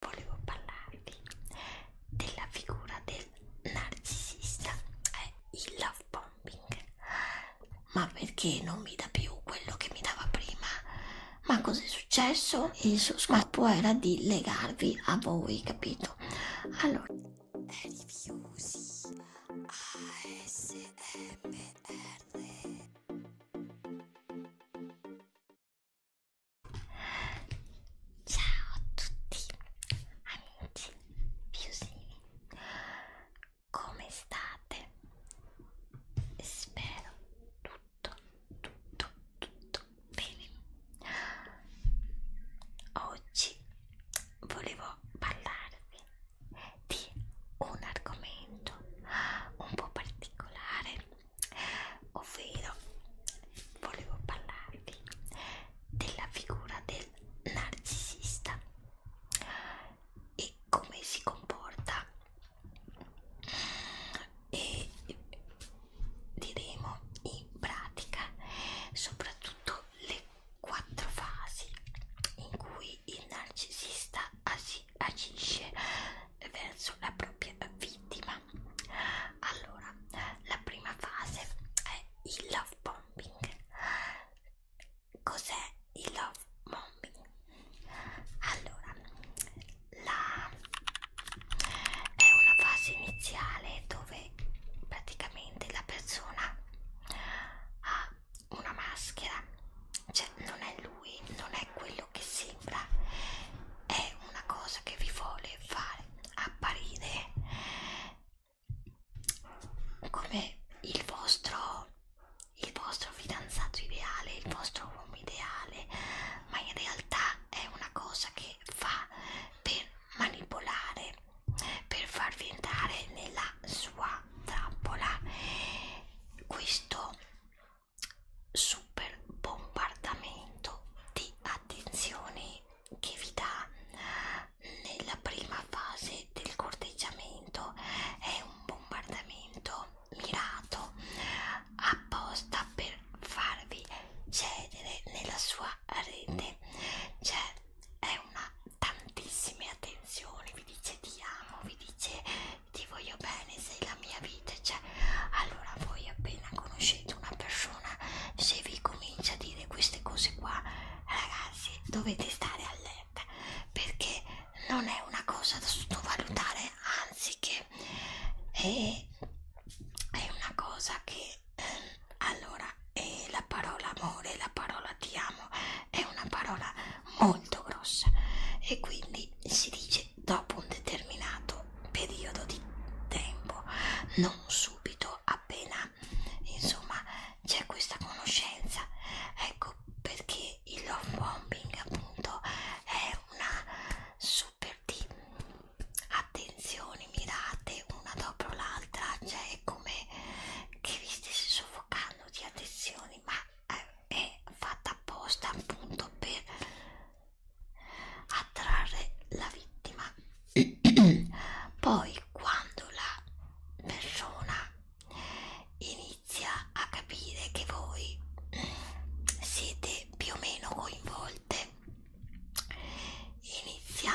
volevo parlarvi della figura del narcisista e eh, il love bombing ma perché non mi dà più quello che mi dava prima ma cos'è successo il suo scopo era di legarvi a voi capito allora rifiusi ASMR Ciao a tutti amici piusini, come state? Spero tutto, tutto, tutto bene. Oggi volevo parlarvi di un argomento un po' particolare ovvero volevo parlarvi della figura del narcisista e come si comporta e diremo in pratica soprattutto le quattro fasi in cui il narcisista agisce verso la propria vittima allora la prima fase è il love bombing cos'è il love bombing allora la è una fase iniziale dove praticamente la persona ha una maschera cioè non è lui lui non è quello che sembra, è una cosa che vi vuole fare apparire come il vostro, il vostro fidanzato ideale, il vostro uomo ideale, ma in realtà è una cosa che fa per manipolare, per farvi entrare nella sua trappola. Questo super bombardamento di attenzioni che vi dà eh, nella prima fase del corteggiamento è un bombardamento mirato apposta per farvi cedere nella sua rete cioè è una tantissime attenzioni vi dice ti amo vi dice ti voglio bene, sei la mia vita, cioè allora voi appena conoscete una persona se vi comincia a dire queste cose qua ragazzi dovete stare allerta perché non è una cosa da sottovalutare anzi che è, è una cosa che eh, allora è la parola amore la parola ti amo è una parola molto grossa e quindi si dice invece dopo un determinato periodo di tempo, non subito, appena insomma c'è questa conoscenza. Ecco perché il love bombing appunto è una super di attenzioni mirate una dopo l'altra, cioè è come che vi stessi soffocando di attenzioni, ma eh, è fatta apposta appunto per attrarre la vittima poi quando la persona inizia a capire che voi siete più o meno coinvolte inizia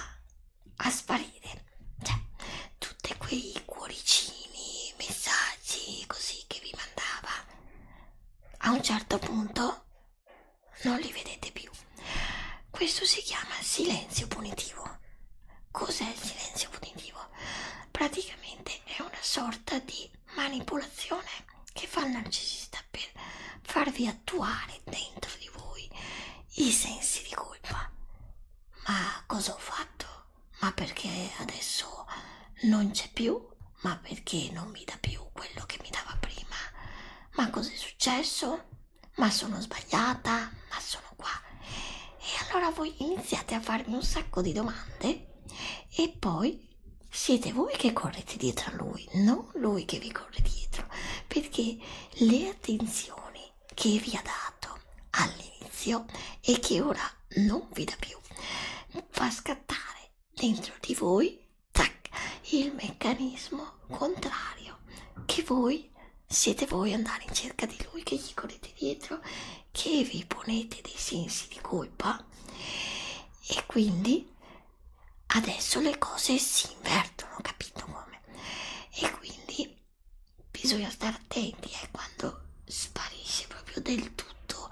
a sparire cioè tutti quei cuoricini messaggi così che vi mandava a un certo punto non li vedete più. Questo si chiama silenzio punitivo. Cos'è il silenzio punitivo? Praticamente è una sorta di manipolazione che fa il narcisista per farvi attuare dentro di voi i sensi di colpa. Ma cosa ho fatto? Ma perché adesso non c'è più ma perché non mi dà più quello che mi dava prima? Ma cos'è successo? Ma sono sbagliata? Ma sono qua? E allora voi iniziate a farmi un sacco di domande e poi siete voi che correte dietro a lui, non lui che vi corre dietro, perché le attenzioni che vi ha dato all'inizio e che ora non vi dà più fa scattare dentro di voi tac, il meccanismo contrario che voi siete voi andare in cerca di lui che gli correte dietro che vi ponete dei sensi di colpa e quindi adesso le cose si invertono capito come e quindi bisogna stare attenti ecco quando sparisce proprio del tutto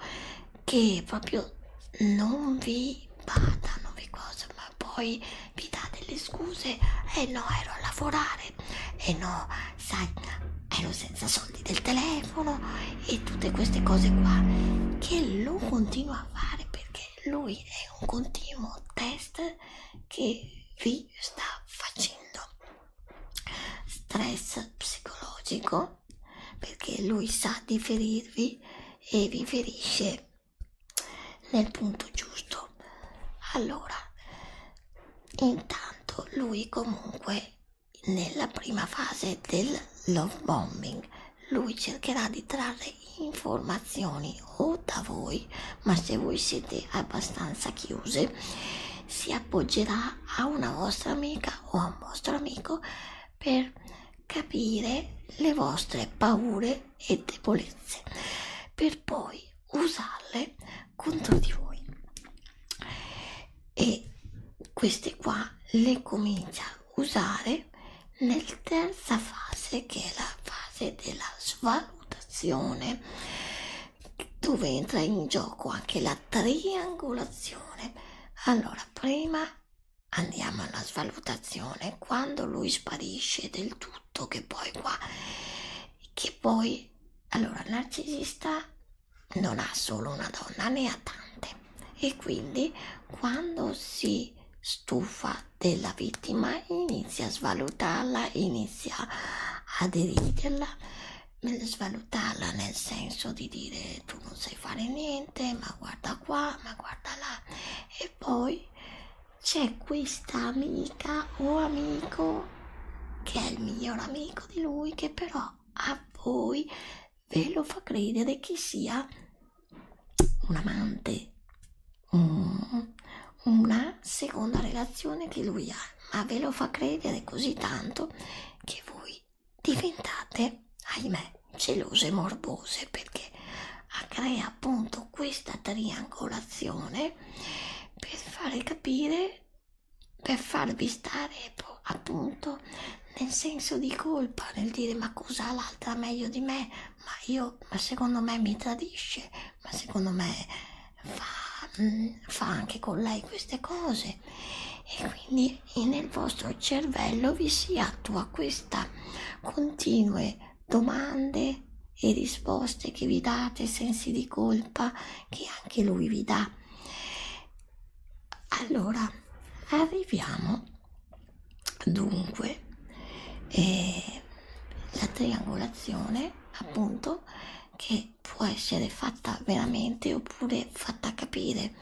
che proprio non vi badano vi cose ma poi vi dà delle scuse e eh no ero a lavorare e eh no sai ero senza soldi del telefono e tutte queste cose qua che lo continua a fare perché lui è un continuo test che vi sta facendo stress psicologico no, perché lui sa di ferirvi e vi ferisce nel punto giusto. Allora, intanto lui comunque nella prima fase del love bombing lui cercherà di trarre informazioni o da voi, ma se voi siete abbastanza chiuse, si appoggerà a una vostra amica o a un vostro amico per capire le vostre paure e debolezze per poi usarle contro di voi e queste qua le comincia a usare nel terza fase che è la fase della svalutazione dove entra in gioco anche la la triangolazione. Allora, prima andiamo alla svalutazione quando lui sparisce del tutto, che poi qua, che poi, allora, il narcisista non ha solo una donna, ne ha tante. E quindi quando si stufa della vittima inizia a svalutarla, inizia a deriderla svalutarla nel senso di dire tu non sai fare niente, ma guarda qua, ma guarda là. E poi c'è questa amica o amico che è il miglior amico di lui che però a voi ve lo fa credere che sia un amante, un, una seconda relazione che lui ha, ma ve lo fa credere così tanto che voi diventate, ahimè, gelose e morbose perché crea appunto questa triangolazione per fare capire, per farvi stare appunto nel senso di colpa, nel dire ma cosa ha l'altra meglio di me, ma io, ma secondo me mi tradisce, ma secondo me fa, mm, fa anche con lei queste cose, cose e quindi nel vostro cervello vi si attua questa continue domande e risposte che vi date, sensi di colpa che anche lui vi dà. Allora, arriviamo dunque alla eh, triangolazione appunto che può essere fatta veramente oppure fatta capire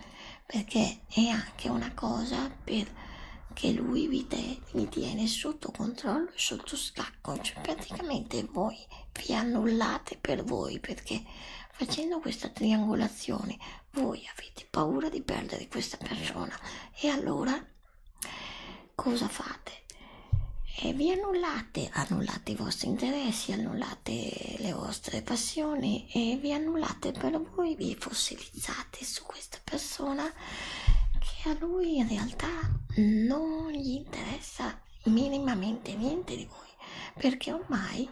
perché è anche una cosa perché lui vi, te, vi tiene sotto controllo e sotto scacco cioè praticamente voi vi annullate per voi perché facendo questa triangolazione voi avete paura di perdere questa persona e allora cosa fate? E eh, vi annullate, annullate annullate i vostri interessi, annullate le vostre passioni e vi annullate per voi, vi fossilizzate su questa persona che a lui in realtà non gli interessa minimamente niente di voi perché ormai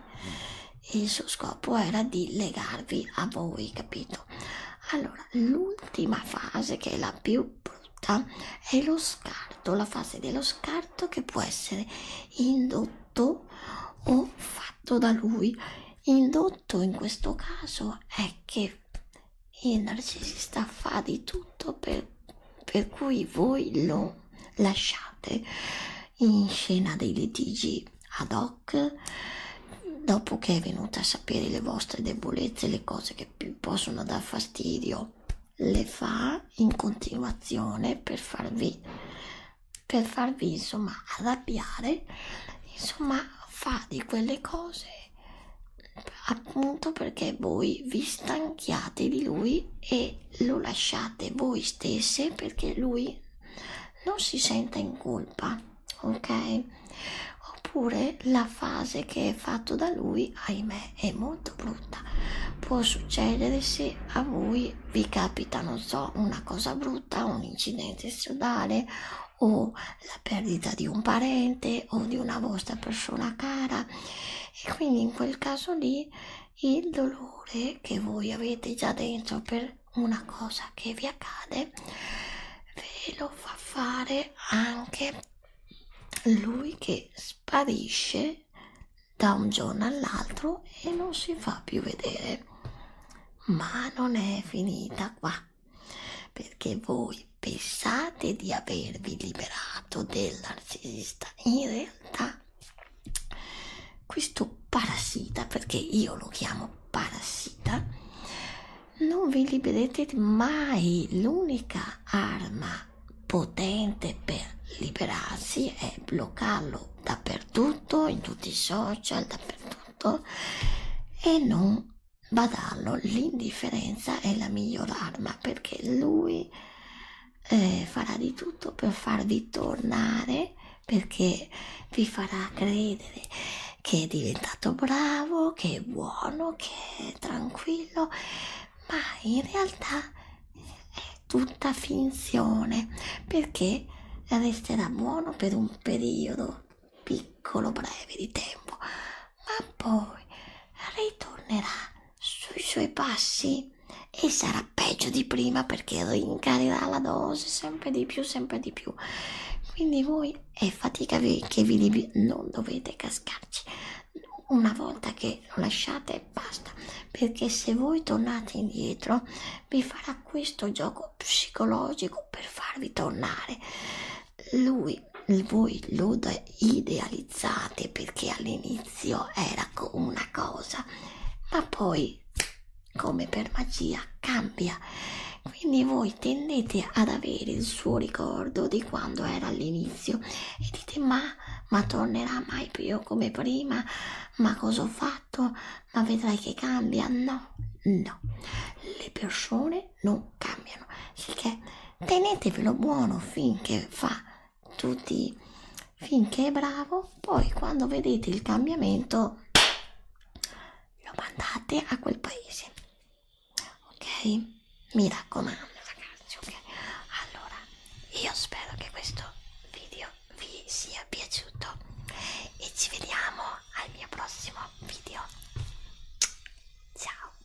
il suo scopo era di legarvi a voi, capito? Allora, l'ultima fase che è la più brutta è lo scarto, la fase dello scarto che può essere indotto o fatto da lui. Indotto in questo caso è che il narcisista fa di tutto per, per cui voi lo lasciate in scena dei litigi ad hoc dopo che è venuta a sapere le vostre debolezze, le cose che più possono dar fastidio le fa in continuazione per farvi per farvi insomma arrabbiare insomma fa di quelle cose appunto perché voi vi stanchiate di lui e lo lasciate voi stesse perché lui non si senta in colpa ok oppure la fase che è fatto da lui ahimè è molto brutta può succedere se a voi vi capita non so una cosa brutta un incidente stradale o la perdita di un parente o di una vostra persona cara e quindi in quel caso lì il dolore che voi avete già dentro per una cosa che vi accade ve lo fa fare anche lui che sparisce da un giorno all'altro e non si fa più vedere. Ma non è finita qua, perché voi pensate di avervi liberato del narcisista. In realtà questo parassita, perché io lo chiamo parassita, non vi libererete mai. L'unica arma potente per liberarsi e bloccarlo dappertutto, in tutti i social, dappertutto e non badarlo. L'indifferenza è la miglior arma perché lui eh, farà di tutto per farvi tornare perché vi farà credere che è diventato bravo, che è buono, che è tranquillo, ma in realtà è tutta finzione perché resterà buono per un periodo piccolo breve di tempo ma poi ritornerà sui suoi passi e sarà peggio di prima perché rincarirà la dose sempre di più sempre di più quindi voi è fatica che vi non dovete cascarci una volta che lo lasciate basta perché se voi tornate indietro vi farà questo gioco psicologico per farvi tornare lui voi lo idealizzate perché all'inizio era una cosa ma poi come per magia cambia quindi voi tendete ad avere il suo ricordo di quando era all'inizio e dite ma ma tornerà mai più come prima? Ma cosa ho fatto? Ma vedrai che cambia? No, no, le persone non cambiano. Sicché tenetevelo buono finché fa tutti, finché è bravo, poi quando vedete il cambiamento lo mandate a quel paese. Ok? mi raccomando ragazzi ok allora io spero che questo video vi sia piaciuto e ci vediamo al mio prossimo video ciao